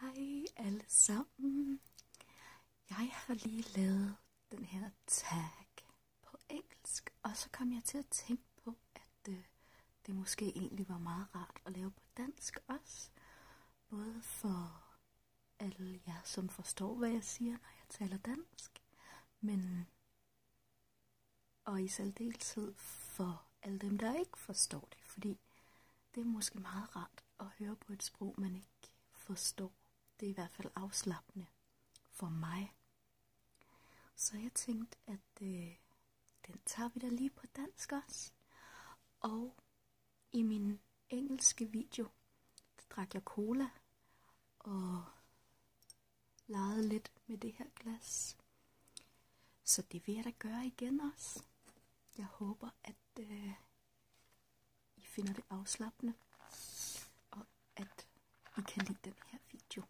Hej alle sammen. Jeg har lige lavet den her tag på engelsk, og så kom jeg til at tænke på, at øh, det måske egentlig var meget rart at lave på dansk også. Både for alle jer, som forstår, hvad jeg siger, når jeg taler dansk, men og i særdeleshed for alle dem, der ikke forstår det, fordi det er måske meget rart at høre på et sprog, man ikke forstår. Det er i hvert fald afslappende for mig. Så jeg tænkte, at øh, den tager vi da lige på dansk også. Og i min engelske video, der drak jeg cola og legede lidt med det her glas. Så det vil jeg da gøre igen også. Jeg håber, at øh, I finder det afslappende, og at I kan lide den her video.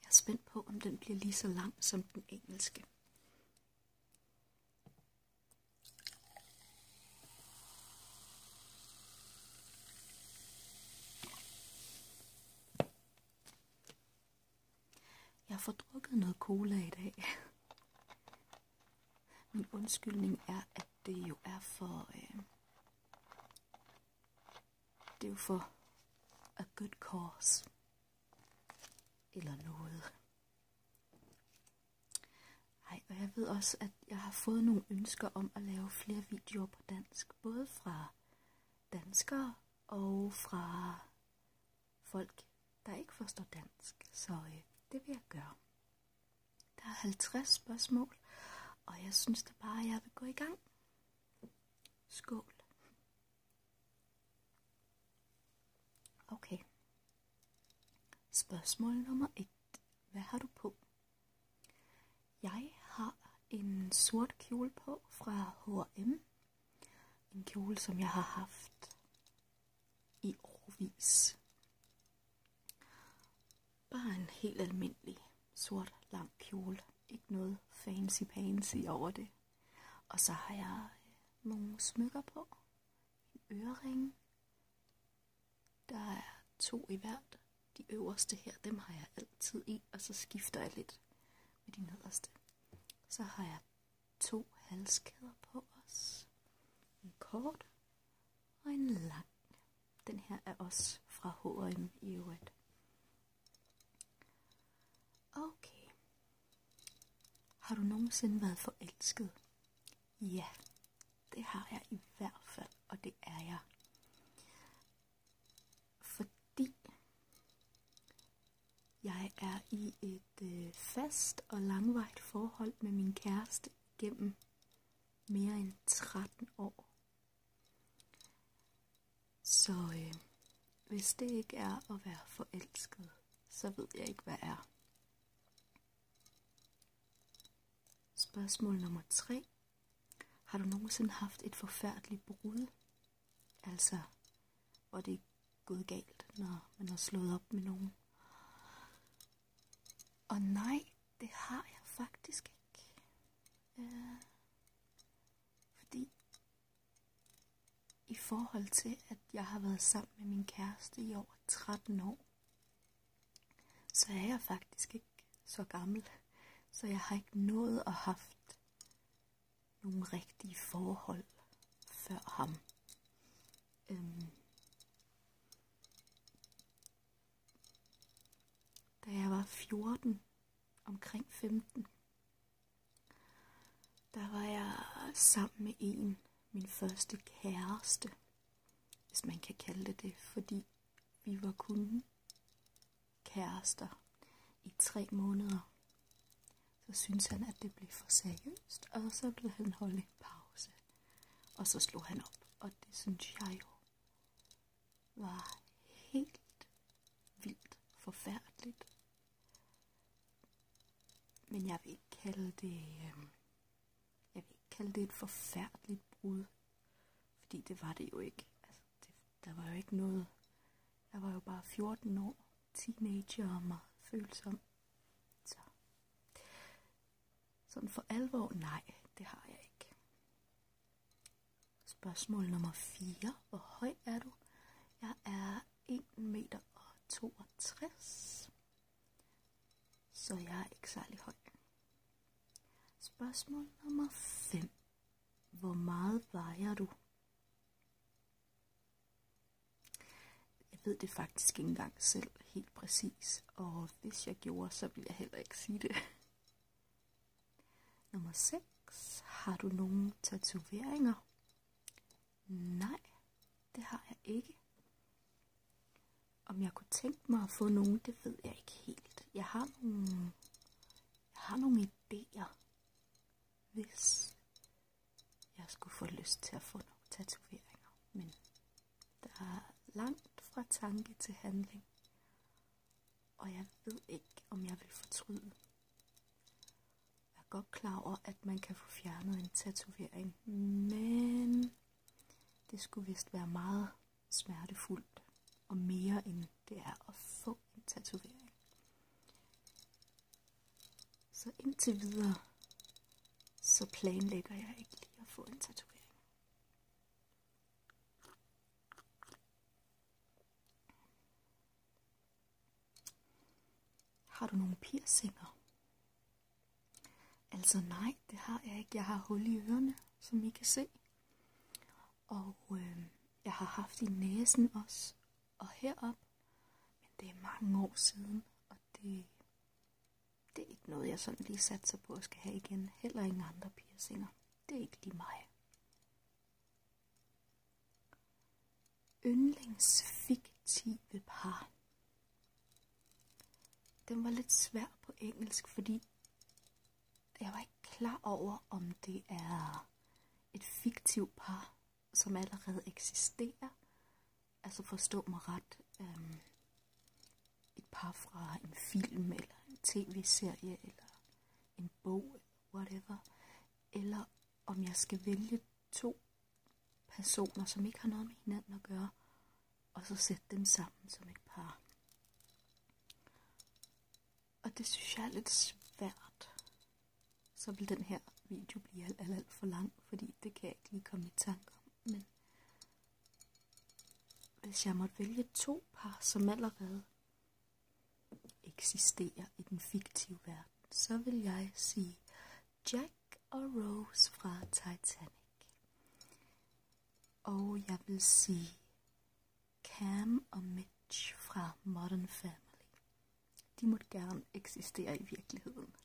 Jeg er spændt på, om den bliver lige så lang som den engelske. Jeg får drukket noget cola i dag. Min undskyldning er, at det jo er for... Øh, det er jo for a good cause. Eller noget. Ej, og jeg ved også, at jeg har fået nogle ønsker om at lave flere videoer på dansk. Både fra danskere og fra folk, der ikke forstår dansk, så øh, det vil jeg gøre. Der er 50 spørgsmål, og jeg synes da bare, at jeg vil gå i gang. Skål. Okay. Spørgsmål nummer 1. Hvad har du på? Jeg har en sort kjole på fra H&M. En kjole, som jeg har haft i årvis. Bare en helt almindelig sort lang kjole. Ikke noget fancy fancy over det. Og så har jeg øh, nogle smykker på. En ørering. Der er to i hvert. De øverste her, dem har jeg altid i, og så skifter jeg lidt med de nederste. Så har jeg to halskæder på os. En kort og en lang. Den her er også fra H&M i øvrigt. Okay. Har du nogensinde været forelsket? Ja, det har jeg i hvert fald, og det er jeg fordi jeg er i et øh, fast og langvarigt forhold med min kæreste gennem mere end 13 år. Så øh, hvis det ikke er at være forelsket, så ved jeg ikke, hvad er. Spørgsmål nummer 3. Har du nogensinde haft et forfærdeligt brud Altså, hvor det er gået galt, når man har slået op med nogen. Og nej, det har jeg faktisk ikke. Øh, fordi i forhold til, at jeg har været sammen med min kæreste i over 13 år, så er jeg faktisk ikke så gammel. Så jeg har ikke nået at have nogle rigtige forhold før ham. Øhm, da jeg var 14, omkring 15, der var jeg sammen med en, min første kæreste, hvis man kan kalde det det, fordi vi var kun kærester i tre måneder. Så synes han, at det blev for seriøst, og så blev han holdt en pause. Og så slog han op, og det synes jeg jo var helt vildt forfærdeligt. Men jeg vil ikke kalde det, øhm, jeg vil ikke kalde det et forfærdeligt brud, fordi det var det jo ikke. Altså, det, der var jo ikke noget. Jeg var jo bare 14 år, teenager og meget følsom. Så sådan for alvor, nej, det har jeg ikke. Spørgsmål nummer 4. Hvor høj er du? Jeg er 1 meter og 62. Så jeg er ikke særlig høj. Spørgsmål nummer 5. Hvor meget vejer du? Jeg ved det faktisk ikke engang selv helt præcis, og hvis jeg gjorde, så vil jeg heller ikke sige det. Nummer 6. Har du nogle tatoveringer? Nej, det har jeg ikke. Om jeg kunne tænke mig at få nogen, det ved jeg ikke helt. Jeg har nogle, jeg har nogle idéer, hvis jeg skulle få lyst til at få nogle tatoveringer. Men der er langt fra tanke til handling, og jeg ved ikke, om jeg vil fortryde. Jeg er godt klar over, at man kan få fjernet en tatovering, men det skulle vist være meget smertefuldt og mere end det er at få en tatovering. Så indtil videre, så planlægger jeg ikke lige at få en tatovering. Har du nogle piercinger? Altså nej, det har jeg ikke. Jeg har hul i ørerne, som I kan se. Og øh, jeg har haft i næsen også, og herop. Men det er mange år siden, og det, det er ikke noget, jeg sådan lige satser på at skal have igen. Heller ingen andre piercinger. Det er ikke lige mig. Yndlingsfiktive par. Den var lidt svær på engelsk, fordi jeg var ikke klar over, om det er et fiktivt par, som allerede eksisterer. Altså forstå mig ret. Øhm, et par fra en film, eller en tv-serie, eller en bog, whatever. Eller om jeg skal vælge to personer, som ikke har noget med hinanden at gøre, og så sætte dem sammen som et par. Og det synes jeg er lidt svært. Så vil den her video blive alt, alt, alt for lang, fordi det kan jeg ikke lige komme i tanke om. Men hvis jeg måtte vælge to par, som allerede eksisterer i den fiktive verden, så vil jeg sige Jack og Rose fra Titanic. Og jeg vil sige Cam og Mitch fra Modern Family. De måtte gerne eksistere i virkeligheden.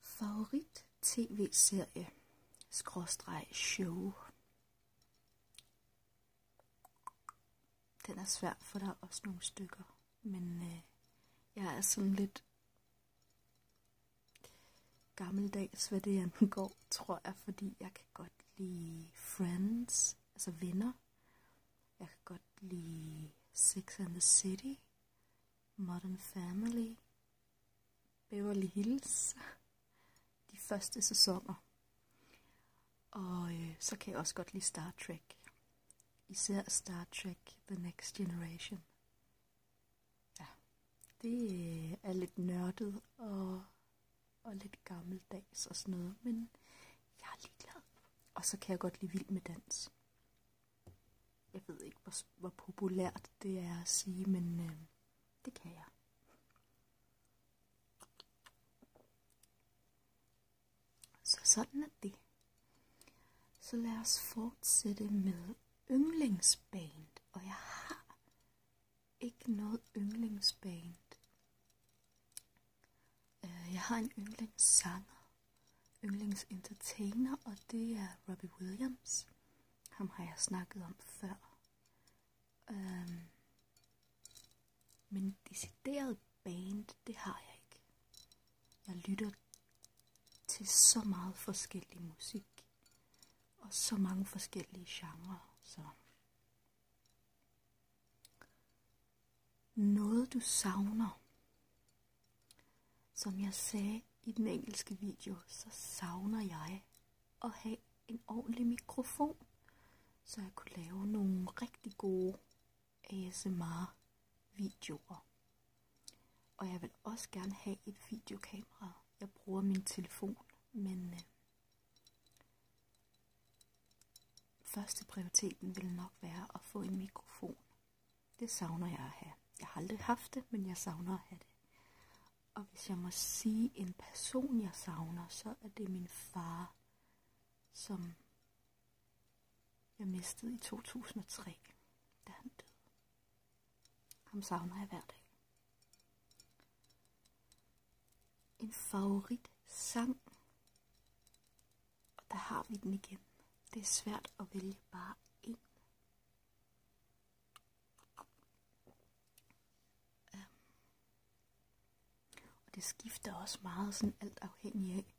Favorit tv-serie skråstreg show. Den er svær, for der er også nogle stykker, men øh, jeg er sådan lidt gammeldags, hvad det angår, tror jeg, fordi jeg kan godt lide Friends, altså venner. Jeg kan godt lide Sex and the City, Modern Family, Beverly Hills, de første sæsoner. Og øh, så kan jeg også godt lide Star Trek. Især Star Trek The Next Generation. Ja, det øh, er lidt nørdet og, og lidt gammeldags og sådan noget, men jeg er ligeglad. Og så kan jeg godt lide vild med dans. Jeg ved ikke, hvor, hvor populært det er at sige, men øh, det kan jeg. Så sådan er det. Så lad os fortsætte med yndlingsband. Og jeg har ikke noget yndlingsband. Øh, jeg har en yndlingssanger, yndlingsentertainer, og det er Robbie Williams. Ham har jeg snakket om før. Øhm, men decideret band, det har jeg ikke. Jeg lytter til så meget forskellig musik og så mange forskellige genrer. Så. Noget du savner. Som jeg sagde i den engelske video, så savner jeg at have en ordentlig mikrofon, så jeg kunne lave nogle rigtig gode ASMR-videoer. Og jeg vil også gerne have et videokamera, jeg bruger min telefon, men øh, første prioriteten vil nok være at få en mikrofon. Det savner jeg at have. Jeg har aldrig haft det, men jeg savner at have det. Og hvis jeg må sige en person, jeg savner, så er det min far, som jeg mistede i 2003, da han døde. Ham savner jeg hver dag. En favorit sang. Og der har vi den igen. Det er svært at vælge bare en. Ja. Øhm. Og det skifter også meget sådan alt afhængig af,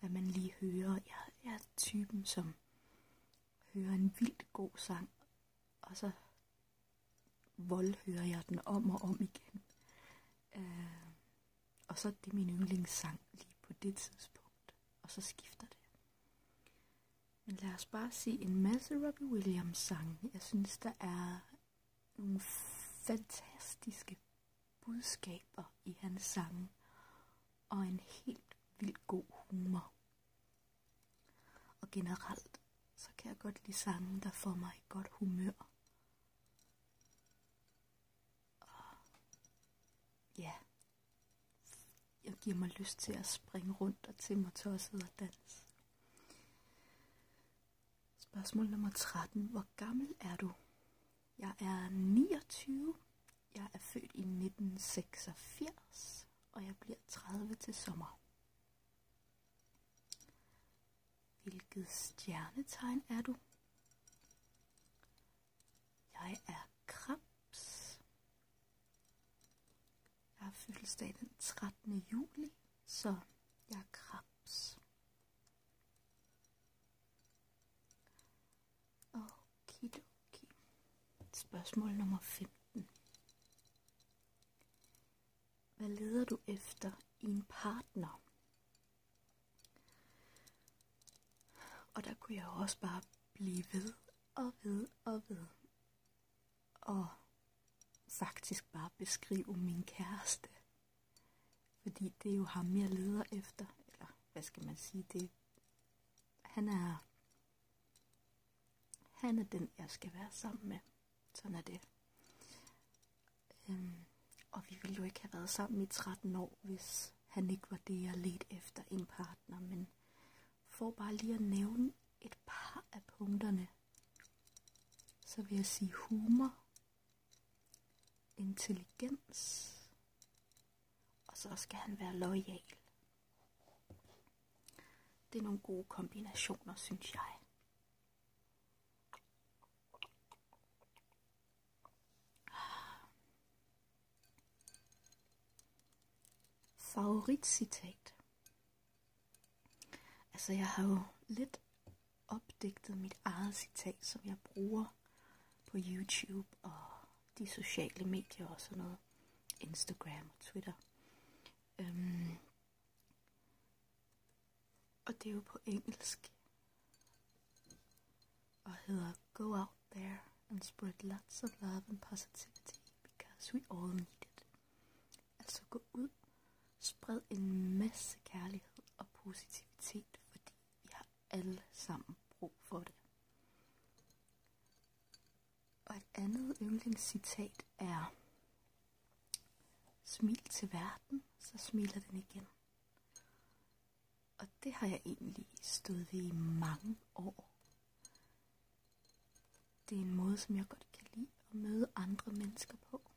hvad man lige hører. Jeg, jeg er typen, som hører en vildt god sang, og så voldhører jeg den om og om igen. Øh, og så er det min yndlingssang lige på det tidspunkt, og så skifter det. Men lad os bare se en masse Robbie Williams sang. Jeg synes, der er nogle fantastiske budskaber i hans sange, og en helt vildt god humor. Og generelt, så kan jeg godt lide sange, der får mig i godt humør. Og ja, jeg giver mig lyst til at springe rundt og til mig tosset og danse. Spørgsmål nummer 13. Hvor gammel er du? Jeg er 29. Jeg er født i 1986 og jeg bliver 30 til sommer. Hvilket stjernetegn er du? Jeg er krebs. Jeg har fødselsdag den 13. juli, så jeg er krebs. Og Okidoki. Spørgsmål nummer 15. Hvad leder du efter i en partner? Og der kunne jeg også bare blive ved og ved og ved. Og faktisk bare beskrive min kæreste. Fordi det er jo ham, jeg leder efter. Eller hvad skal man sige? Det, han er han er den, jeg skal være sammen med. Sådan er det. Øhm, og vi ville jo ikke have været sammen i 13 år, hvis han ikke var det, jeg ledte efter en partner. Men for bare lige at nævne et par af punkterne, så vil jeg sige humor, intelligens, og så skal han være lojal. Det er nogle gode kombinationer, synes jeg. Favoritcitat. Altså, jeg har jo lidt opdigtet mit eget citat, som jeg bruger på YouTube og de sociale medier og sådan noget. Instagram og Twitter. Øhm, og det er jo på engelsk. Og hedder Go out there and spread lots of love and positivity because we all need it. Altså gå ud, spred en masse kærlighed og positivitet, fordi vi har alle sammen brug for det. Og et andet yndlingscitat er, smil til verden, så smiler den igen. Og det har jeg egentlig stået ved i mange år. Det er en måde, som jeg godt kan lide at møde andre mennesker på.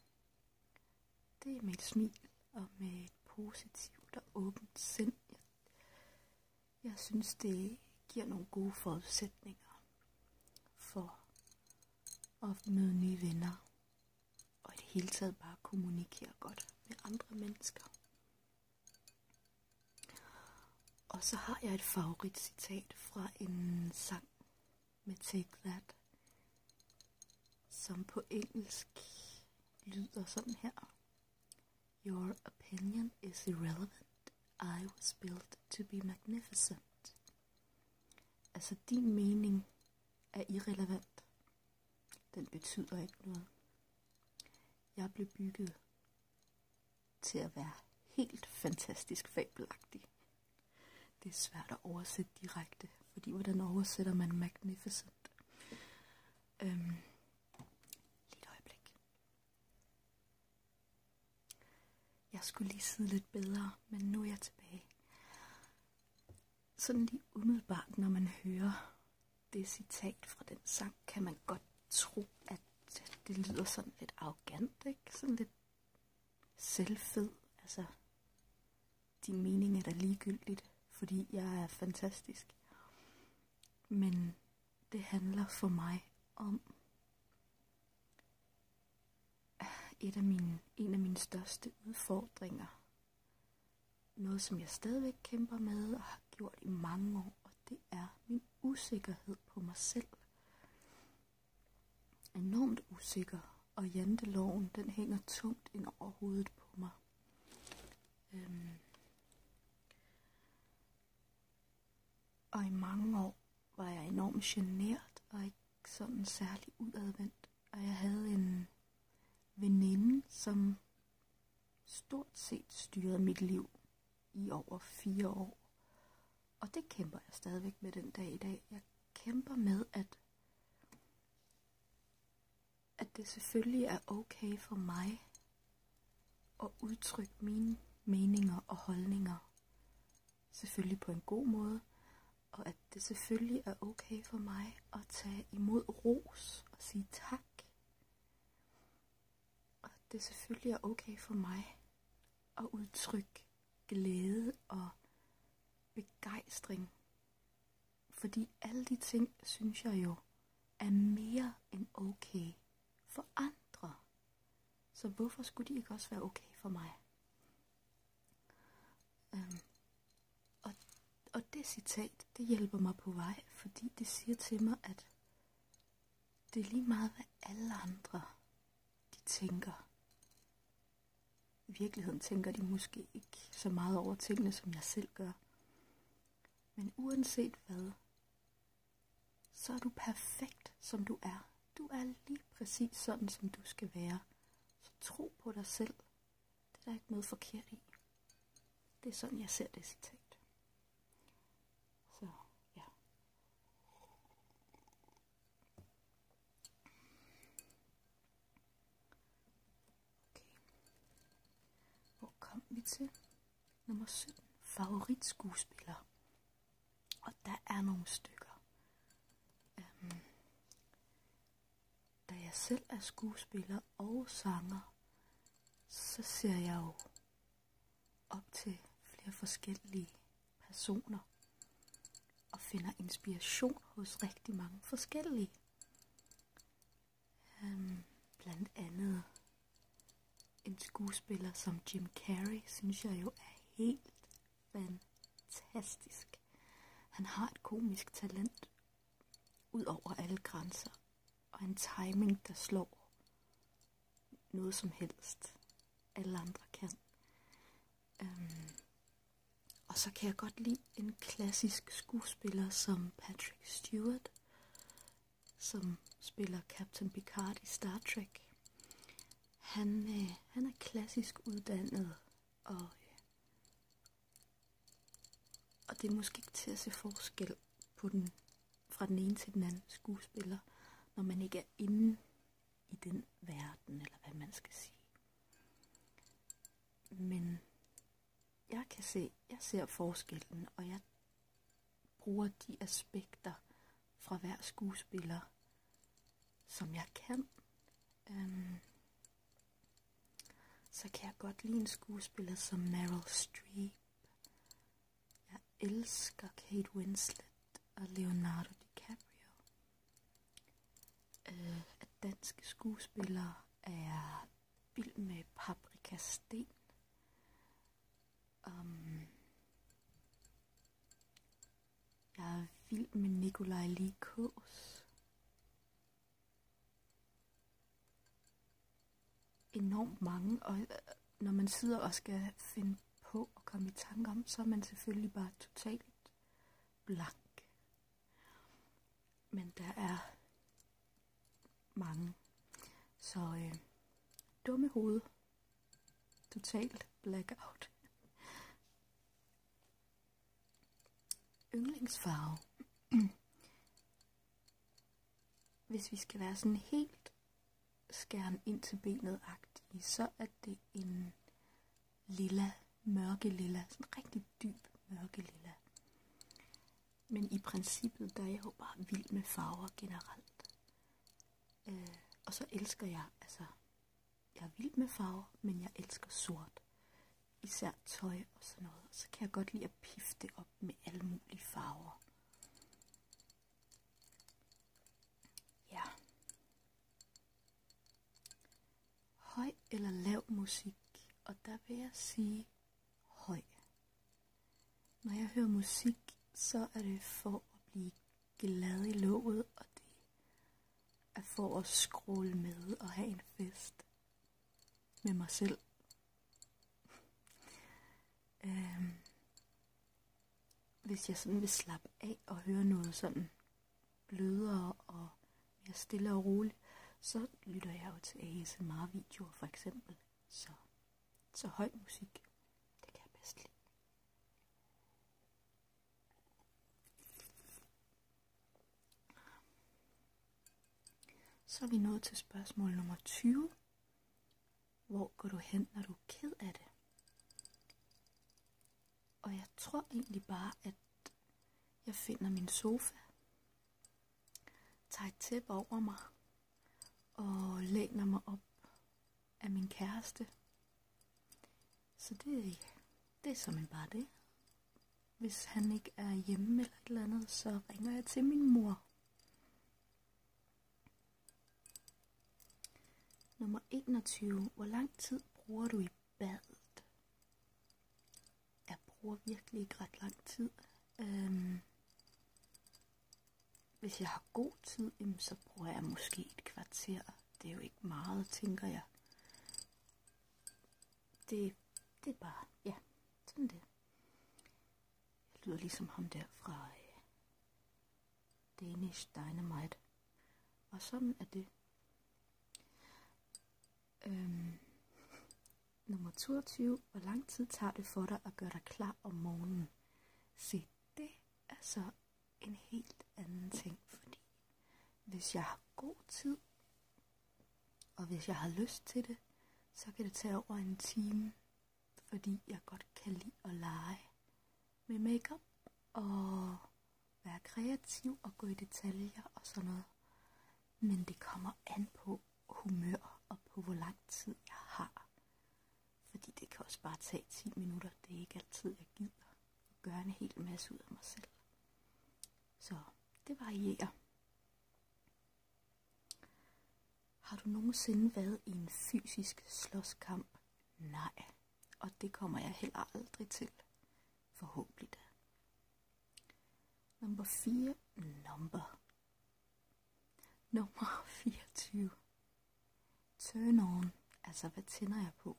Det er med et smil og med et positivt og åbent sind. Jeg, jeg synes, det giver nogle gode forudsætninger for at møde nye venner og i det hele taget bare kommunikere godt med andre mennesker. Og så har jeg et favorit citat fra en sang med Take That, som på engelsk lyder sådan her. Your opinion is irrelevant. I was built to be magnificent. Altså, din mening er irrelevant. Den betyder ikke noget. Jeg blev bygget til at være helt fantastisk fabelagtig. Det er svært at oversætte direkte, fordi hvordan oversætter man magnificent? Øhm, lige et øjeblik. Jeg skulle lige sidde lidt bedre, men nu er jeg tilbage. Sådan lige umiddelbart, når man hører det citat fra den sang, kan man godt tro, at det lyder sådan lidt arrogant, ikke? Sådan lidt selvfed. Altså, din mening er da ligegyldigt, fordi jeg er fantastisk. Men det handler for mig om øh, et af mine, en af mine største udfordringer. Noget, som jeg stadigvæk kæmper med og har gjort i mange år, og det er min usikkerhed på mig selv. Enormt usikker, og janteloven, den hænger tungt ind over hovedet på mig. Øhm. Og i mange år var jeg enormt genert og ikke sådan særlig udadvendt. Og jeg havde en veninde, som stort set styrede mit liv i over fire år. Og det kæmper jeg stadigvæk med den dag i dag. Jeg kæmper med, at, at det selvfølgelig er okay for mig og udtrykke mine meninger og holdninger. Selvfølgelig på en god måde, og at det selvfølgelig er okay for mig at tage imod ros og sige tak. Og at det selvfølgelig er okay for mig at udtrykke glæde og begejstring. Fordi alle de ting, synes jeg jo, er mere end okay for andre. Så hvorfor skulle de ikke også være okay for mig? Øhm, og, og det citat, det hjælper mig på vej, fordi det siger til mig, at det er lige meget, hvad alle andre de tænker. I virkeligheden tænker de måske ikke så meget over tingene, som jeg selv gør. Men uanset hvad, så er du perfekt, som du er. Du er lige præcis sådan, som du skal være. Så tro på dig selv. Det er der ikke noget forkert i. Det er sådan, jeg ser det citat. Så ja. Okay. Hvor til? Nummer Favorit skuespiller. Og der er nogle stykker. Øhm, da jeg selv er skuespiller og sanger, så ser jeg jo op til flere forskellige personer og finder inspiration hos rigtig mange forskellige. Øhm, blandt andet en skuespiller som Jim Carrey, synes jeg jo er helt fantastisk. Han har et komisk talent ud over alle grænser, og en timing, der slår noget som helst, alle andre kan. Øhm. Og så kan jeg godt lide en klassisk skuespiller som Patrick Stewart som spiller Captain Picard i Star Trek. Han, øh, han er klassisk uddannet, og, øh, og det er måske ikke til at se forskel på den fra den ene til den anden skuespiller, når man ikke er inde i den verden, eller hvad man skal sige. Men jeg kan se, jeg ser forskellen, og jeg bruger de aspekter fra hver skuespiller, som jeg kan. Øhm, så kan jeg godt lide en skuespiller som Meryl Streep. Jeg elsker Kate Winslet og Leonardo DiCaprio. Øh, at danske skuespillere er vild med Paprika Sten. Um, jeg er vild med Nikolaj Likås. Enormt mange, og øh, når man sidder og skal finde på og komme i tanke om, så er man selvfølgelig bare totalt blank. Men der er mange. Så øh, dumme hoved. Totalt blackout. Yndlingsfarve. Hvis vi skal være sådan helt skærm ind til benet agtige, så er det en lilla, mørke lilla, sådan rigtig dyb mørke lilla. Men i princippet, der er jeg jo bare vild med farver generelt. Øh, og så elsker jeg, altså, jeg er vild med farver, men jeg elsker sort. Især tøj og sådan noget. Så kan jeg godt lide at pifte op med alle mulige farver. Ja. Høj eller lav musik. Og der vil jeg sige, høj. Når jeg hører musik, så er det for at blive glad i låget, og det er for at skråle med og have en fest med mig selv. øhm, hvis jeg sådan vil slappe af og høre noget sådan blødere og mere stille og roligt, så lytter jeg jo til ASMR-videoer for eksempel. Så, så høj musik, det kan jeg bedst Så er vi nået til spørgsmål nummer 20. Hvor går du hen, når du er ked af det? Og jeg tror egentlig bare, at jeg finder min sofa tager et tæppe over mig og læner mig op af min kæreste. Så det, det er som bare det. Hvis han ikke er hjemme eller et eller andet, så ringer jeg til min mor. Nummer 21. Hvor lang tid bruger du i badet? Jeg bruger virkelig ikke ret lang tid. Øhm, hvis jeg har god tid, så bruger jeg måske et kvarter. Det er jo ikke meget, tænker jeg. Det, det er bare, ja, sådan det. Jeg lyder ligesom ham der fra øh, Danish Dynamite. Og sådan er det. Øhm, Nummer 22. Hvor lang tid tager det for dig at gøre dig klar om morgenen? Se, det er så en helt anden ting, fordi hvis jeg har god tid, og hvis jeg har lyst til det, så kan det tage over en time, fordi jeg godt kan lide at lege med makeup og være kreativ og gå i detaljer og sådan noget. Men det kommer an på, humør og på, hvor lang tid jeg har. Fordi det kan også bare tage 10 minutter. Det er ikke altid, jeg gider at gøre en hel masse ud af mig selv. Så det varierer. Har du nogensinde været i en fysisk slåskamp? Nej, og det kommer jeg heller aldrig til. Forhåbentlig Nummer 4. Nummer Nummer 24. Turn on. Altså, hvad tænder jeg på?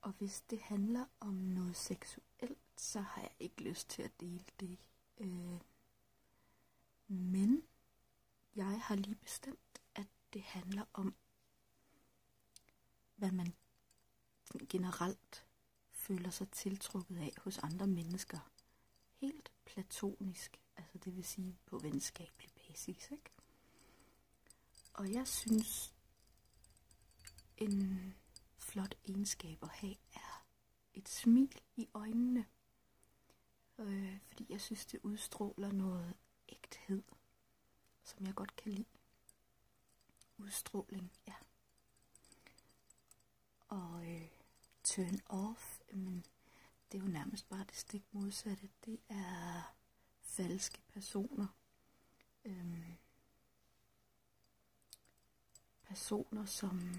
Og hvis det handler om noget seksuelt, så har jeg ikke lyst til at dele det. Øh, men jeg har lige bestemt, at det handler om, hvad man generelt føler sig tiltrukket af hos andre mennesker. Helt platonisk, altså det vil sige på venskabelig basis. Ikke? Og jeg synes, en flot egenskab at have er et smil i øjnene. Øh, fordi jeg synes, det udstråler noget ægthed, som jeg godt kan lide. Udstråling, ja. Og øh, turn off, men det er jo nærmest bare det stik modsatte. Det er falske personer. Øhm, personer, som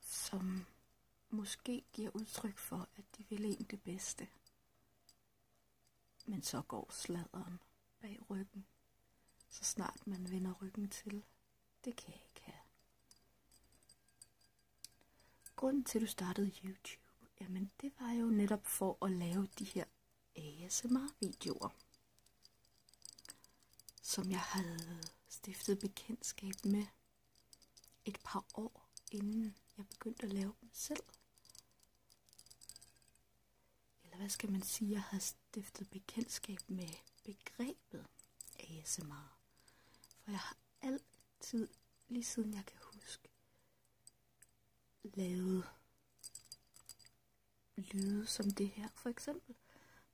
som måske giver udtryk for, at de vil en det bedste. Men så går sladderen bag ryggen, så snart man vender ryggen til. Det kan jeg ikke have. Grunden til, at du startede YouTube, jamen det var jo netop for at lave de her ASMR-videoer, som jeg havde stiftet bekendtskab med et par år inden jeg begyndte at lave dem selv eller hvad skal man sige, jeg har stiftet bekendtskab med begrebet ASMR. For jeg har altid, lige siden jeg kan huske, lavet lyde som det her. For eksempel,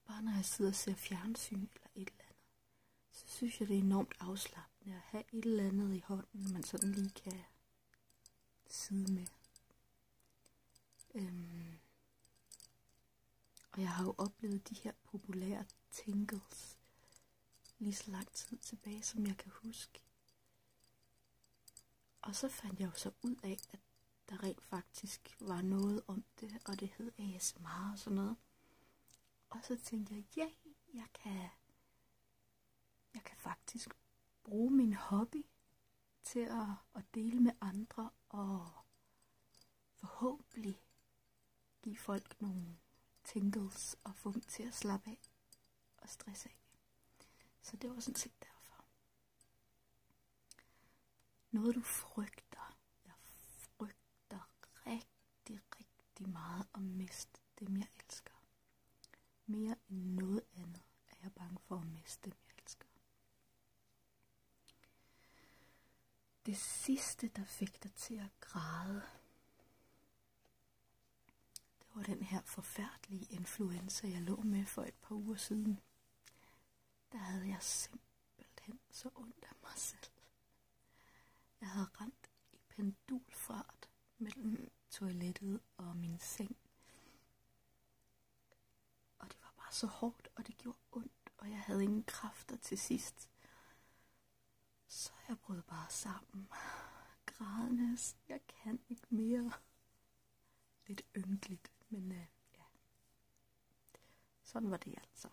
bare når jeg sidder og ser fjernsyn eller et eller andet, så synes jeg, det er enormt afslappende at have et eller andet i hånden, man sådan lige kan side med. Øhm. Og jeg har jo oplevet de her populære tingles lige så lang tid tilbage, som jeg kan huske. Og så fandt jeg jo så ud af, at der rent faktisk var noget om det, og det hed ASMR og sådan noget. Og så tænkte jeg, ja, jeg kan, jeg kan faktisk bruge min hobby til at, at dele med andre og forhåbentlig give folk nogle tingles og få dem til at slappe af og stresse af. Så det var sådan set derfor. Noget du frygter. Jeg frygter rigtig, rigtig meget at miste dem jeg elsker. Mere end noget andet er jeg bange for at miste dem, jeg elsker. Det sidste, der fik dig til at græde, det var den her forfærdelige influenza, jeg lå med for et par uger siden. Der havde jeg simpelthen så ondt af mig selv. Jeg havde rent i pendulfart mellem toilettet og min seng. Og det var bare så hårdt, og det gjorde ondt, og jeg havde ingen kræfter til sidst. Så jeg brød bare sammen. Grædende, jeg kan ikke mere. Lidt ynkeligt, men øh, ja. Sådan var det altså.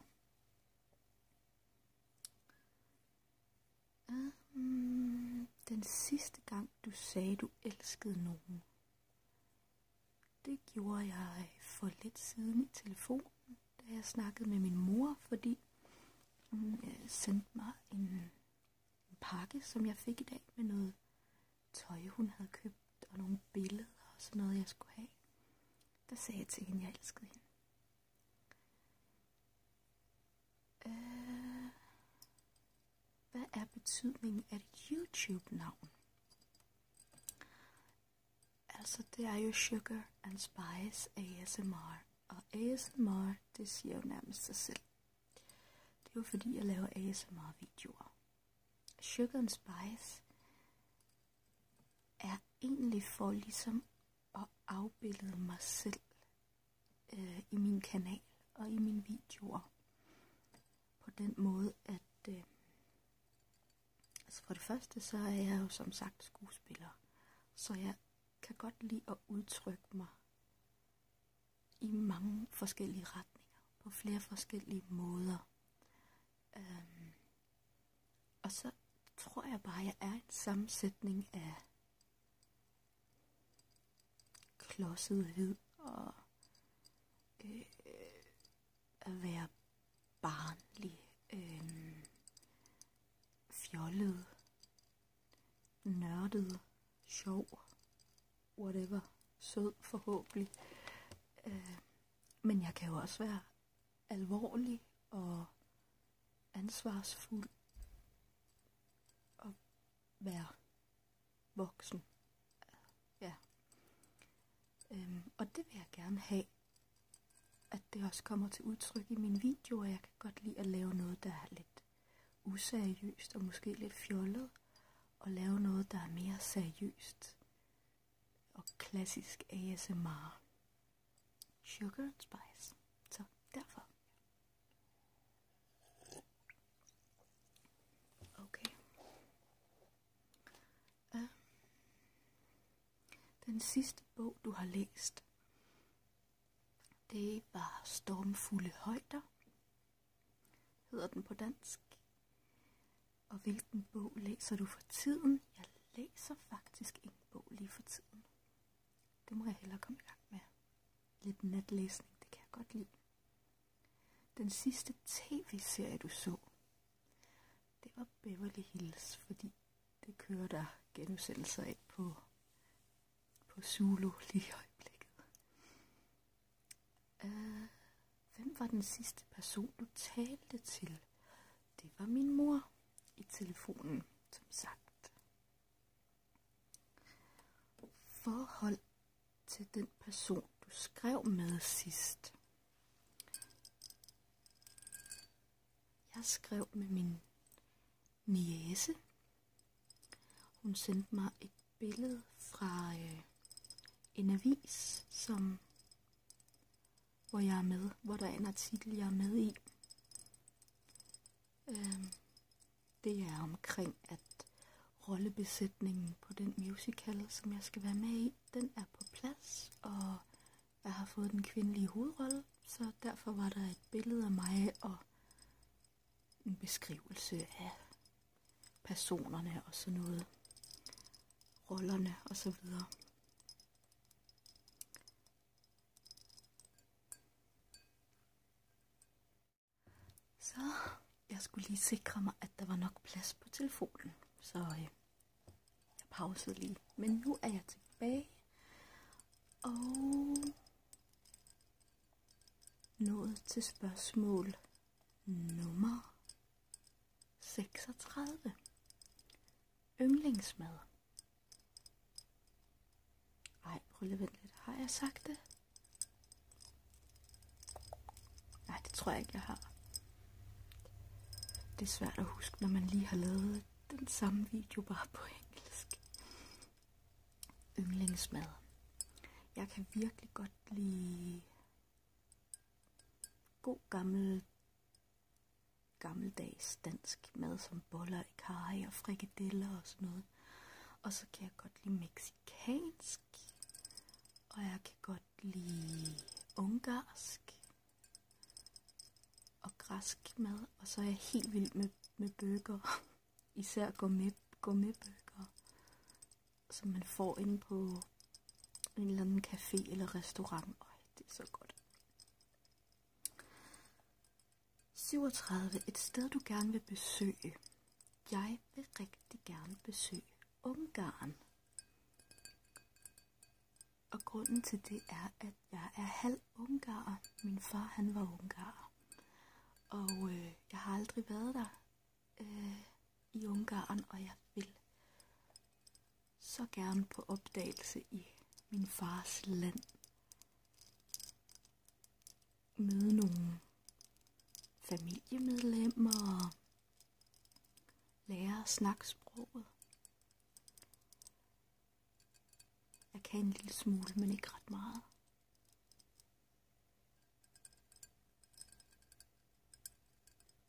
Øhm, den sidste gang, du sagde, du elskede nogen, det gjorde jeg for lidt siden i telefonen, da jeg snakkede med min mor, fordi hun mm, øh, sendte mig en, en pakke, som jeg fik i dag med noget tøj, hun havde købt, og nogle billeder og sådan noget, jeg skulle have. Der sagde jeg til hende, jeg elskede hende. Øh, hvad er betydningen af et YouTube-navn? Altså, det er jo Sugar and Spice ASMR. Og ASMR, det siger jo nærmest sig selv. Det er jo fordi, jeg laver ASMR-videoer. Sugar and Spice er egentlig for ligesom at afbillede mig selv øh, i min kanal og i mine videoer på den måde, at øh, altså for det første, så er jeg jo som sagt skuespiller, så jeg kan godt lide at udtrykke mig i mange forskellige retninger, på flere forskellige måder. Øhm, og så tror jeg bare, at jeg er en sammensætning af klodset hvid og øh, at være barnlig, øh, fjollet, nørdet, sjov, whatever, sød forhåbentlig. Øh, men jeg kan jo også være alvorlig og ansvarsfuld og være voksen. Ja. Øhm, og det vil jeg gerne have, at det også kommer til udtryk i min video, videoer. Jeg kan godt lide at lave noget, der er lidt useriøst og måske lidt fjollet. Og lave noget, der er mere seriøst og klassisk ASMR. Sugar and Spice. Så derfor. Okay. Uh, den sidste bog, du har læst, det var Stormfulde Højder, hedder den på dansk. Og hvilken bog læser du for tiden? Jeg læser faktisk en bog lige for tiden. Det må jeg hellere komme i gang med. Lidt natlæsning, det kan jeg godt lide. Den sidste tv-serie, du så, det var Beverly Hills, fordi det kører der genudsendelser af på, på Zulu lige i øjeblikket. Uh, hvem var den sidste person, du talte til? Det var min mor i telefonen, som sagt. Forhold til den person, du skrev med sidst. Jeg skrev med min niese. Hun sendte mig et billede fra øh, en avis, som, hvor jeg er med, hvor der er en artikel, jeg er med i. Øh, det er omkring, at rollebesætningen på den musical, som jeg skal være med i, den er på plads, og jeg har fået den kvindelige hovedrolle, så derfor var der et billede af mig og en beskrivelse af personerne og sådan noget, rollerne og så videre. Så jeg skulle lige sikre mig, at der var nok plads på telefonen. Så øh, jeg pausede lige. Men nu er jeg tilbage. Og nået til spørgsmål nummer 36. Yndlingsmad. Ej, prøv lige at vente lidt. Har jeg sagt det? Nej, det tror jeg ikke, jeg har. Det er svært at huske, når man lige har lavet den samme video, bare på engelsk. Yndlingsmad. Jeg kan virkelig godt lide god gammel gammeldags dansk mad som boller i kaj og frikadeller og sådan noget. Og så kan jeg godt lide meksikansk. Og jeg kan godt lide ungarsk og græsk mad. Og så er jeg helt vild med, med bøger. Især gourmet, bøger. som man får ind på en eller anden café eller restaurant. Øj, det er så godt. 37. Et sted du gerne vil besøge. Jeg vil rigtig gerne besøge Ungarn. Og grunden til det er, at jeg er halv ungarer. Min far, han var ungarer. Og øh, jeg har aldrig været der øh, i Ungarn, og jeg vil så gerne på opdagelse i min fars land møde nogle familiemedlemmer og lære at snakke sproget. Jeg kan en lille smule, men ikke ret meget.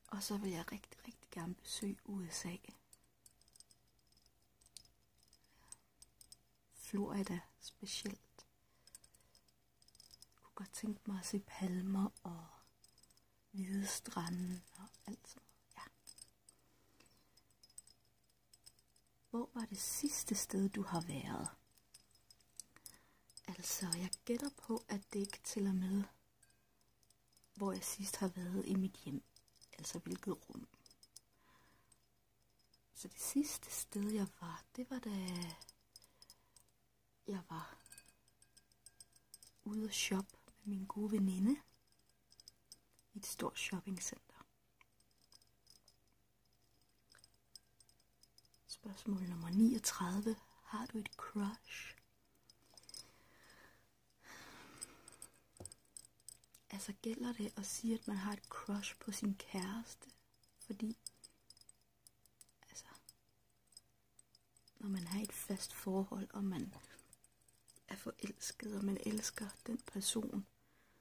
Og så vil jeg rigtig, rigtig gerne besøge USA. Florida specielt. Jeg kunne godt tænke mig at se palmer og hvide strande og alt sådan Ja. Hvor var det sidste sted, du har været? Altså, jeg gætter på, at det ikke tæller med, hvor jeg sidst har været i mit hjem. Altså, hvilket rum. Så det sidste sted, jeg var, det var da jeg var ude at shoppe med min gode veninde i et stort shoppingcenter. Spørgsmål nummer 39. Har du et crush? Altså gælder det at sige, at man har et crush på sin kæreste? Fordi altså, når man har et fast forhold, og man er forelsket, og man elsker den person,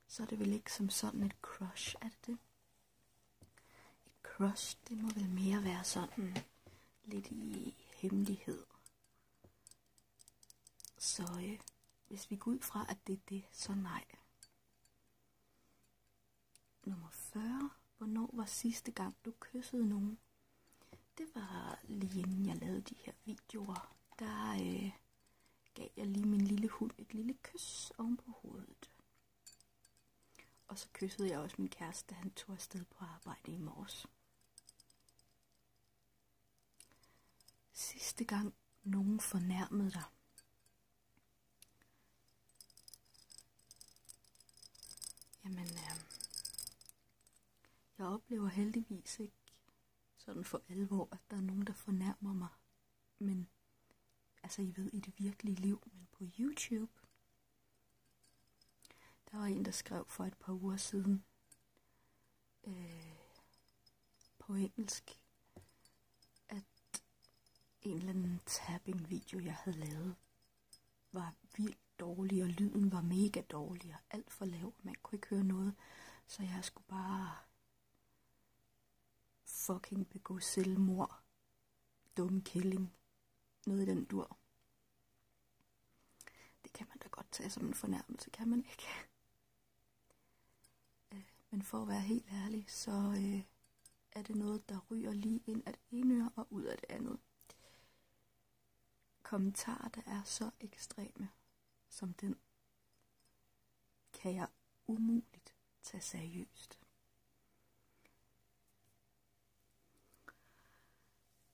så er det vel ikke som sådan et crush, er det det? Et crush, det må vel mere være sådan lidt i hemmelighed. Så øh, hvis vi går ud fra, at det er det, så nej. Nummer 40. Hvornår var sidste gang, du kyssede nogen? Det var lige inden jeg lavede de her videoer. Der øh, gav jeg lige min lille hund et lille kys oven på hovedet. Og så kyssede jeg også min kæreste, da han tog afsted på arbejde i morges. Sidste gang nogen fornærmede dig. Jamen, øh, jeg oplever heldigvis ikke sådan for alvor, at der er nogen, der fornærmer mig. Men, altså I ved, i det virkelige liv, men på YouTube. Der var en, der skrev for et par uger siden. Øh, på engelsk, at en eller anden tapping-video, jeg havde lavet, var vildt dårlig, og lyden var mega dårlig, og alt for lav, man kunne ikke høre noget, så jeg skulle bare fucking begå selvmord, dum killing, noget i den dur. Det kan man da godt tage som en fornærmelse, kan man ikke? Øh, men for at være helt ærlig, så øh, er det noget, der ryger lige ind af det ene øre og ud af det andet. Kommentarer, der er så ekstreme som den, kan jeg umuligt tage seriøst.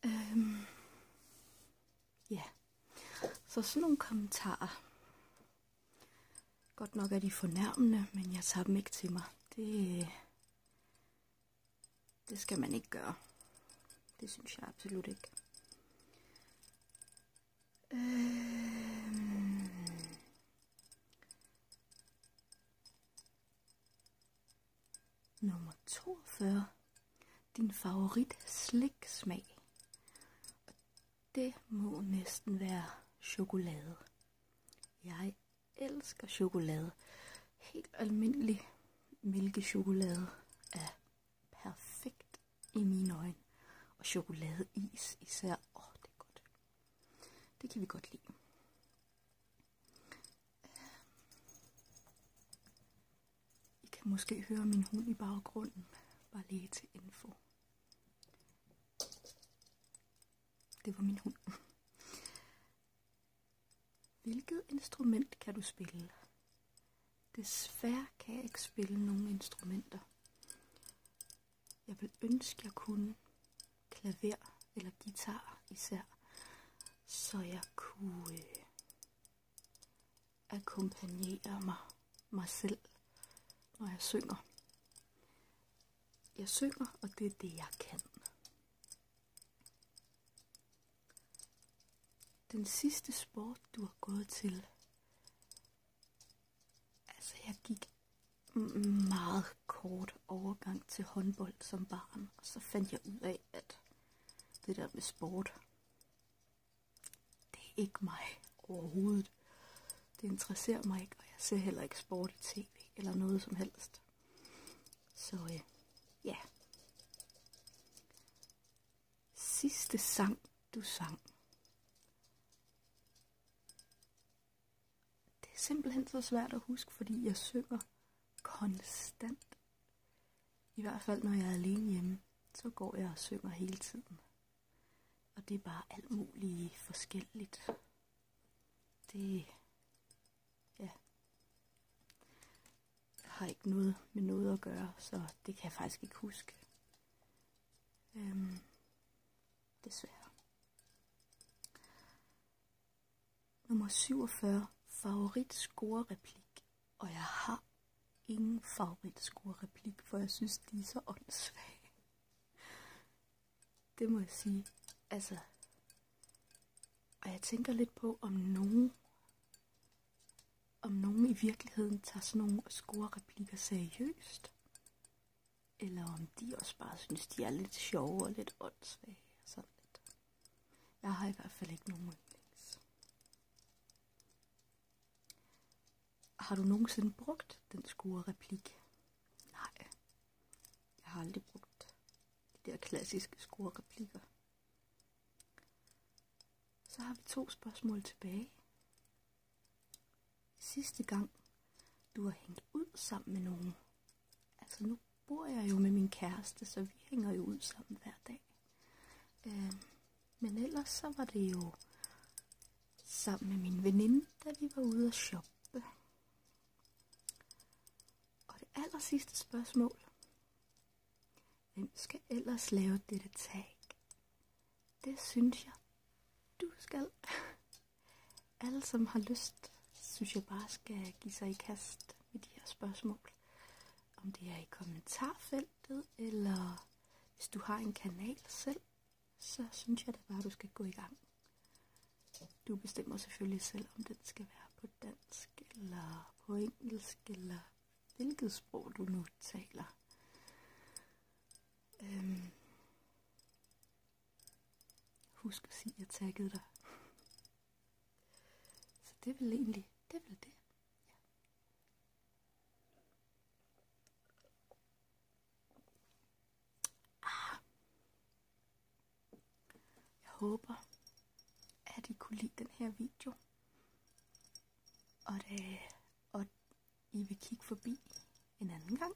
Øhm, ja, så sådan nogle kommentarer, Godt nok er de fornærmende, men jeg tager dem ikke til mig. Det, det skal man ikke gøre. Det synes jeg absolut ikke. Øhm. Nummer 42. Din favorit sliksmag. Det må næsten være chokolade. Jeg elsker chokolade. Helt almindelig mælkechokolade er perfekt i mine øjne. Og chokoladeis især. Åh, oh, det er godt. Det kan vi godt lide. I kan måske høre min hund i baggrunden. Bare lige til info. Det var min hund. Hvilket instrument kan du spille? Desværre kan jeg ikke spille nogen instrumenter. Jeg vil ønske, jeg kunne klaver eller guitar især, så jeg kunne øh, akkompagnere mig, mig selv, når jeg synger. Jeg synger, og det er det, jeg kan. Den sidste sport, du har gået til. Altså, jeg gik meget kort overgang til håndbold som barn, og så fandt jeg ud af, at det der med sport, det er ikke mig overhovedet. Det interesserer mig ikke, og jeg ser heller ikke sport i tv eller noget som helst. Så øh, ja. Sidste sang, du sang. Det er simpelthen så svært at huske, fordi jeg synger konstant. I hvert fald når jeg er alene hjemme, så går jeg og synger hele tiden. Og det er bare alt muligt forskelligt. Det ja, har ikke noget med noget at gøre, så det kan jeg faktisk ikke huske. Øhm, desværre. Nummer 47. Favorit score-replik. Og jeg har ingen favorit score-replik, for jeg synes, de er så åndssvage. Det må jeg sige. Altså, og jeg tænker lidt på, om nogen, om nogen i virkeligheden tager sådan nogle score-replikker seriøst. Eller om de også bare synes, de er lidt sjove og lidt åndssvage sådan lidt. Jeg har i hvert fald ikke nogen yndlings. Har du nogensinde brugt den skure replik? Nej, jeg har aldrig brugt de der klassiske skure replikker. Så har vi to spørgsmål tilbage. Sidste gang du har hængt ud sammen med nogen. Altså nu bor jeg jo med min kæreste, så vi hænger jo ud sammen hver dag. Øh, men ellers så var det jo sammen med min veninde, da vi var ude at shoppe. Og det aller sidste spørgsmål. Hvem skal ellers lave dette tag? Det synes jeg, du skal. Alle, som har lyst, synes jeg bare skal give sig i kast med de her spørgsmål. Om det er i kommentarfeltet, eller hvis du har en kanal selv, så synes jeg da bare, at du skal gå i gang. Du bestemmer selvfølgelig selv, om den skal være på dansk, eller på engelsk, eller hvilket sprog du nu taler. Øhm. Husk at sige, at jeg taggede dig. Så det er vel egentlig, det er vel det. Jeg håber, at I kunne lide den her video. Og, det, øh, og I vil kigge forbi en anden gang.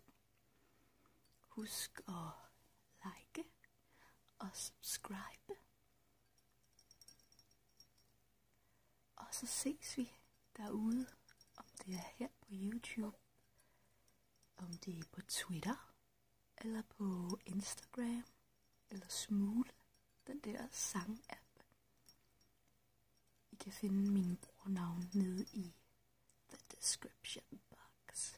Husk at like og subscribe. Og så ses vi derude, om det er her på YouTube, om det er på Twitter, eller på Instagram, eller Smule, den der sang-app. I kan finde mine navn nede i the description box.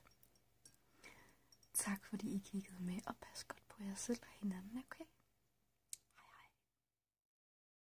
Tak fordi I kiggede med, og pas godt på jer selv og hinanden, okay?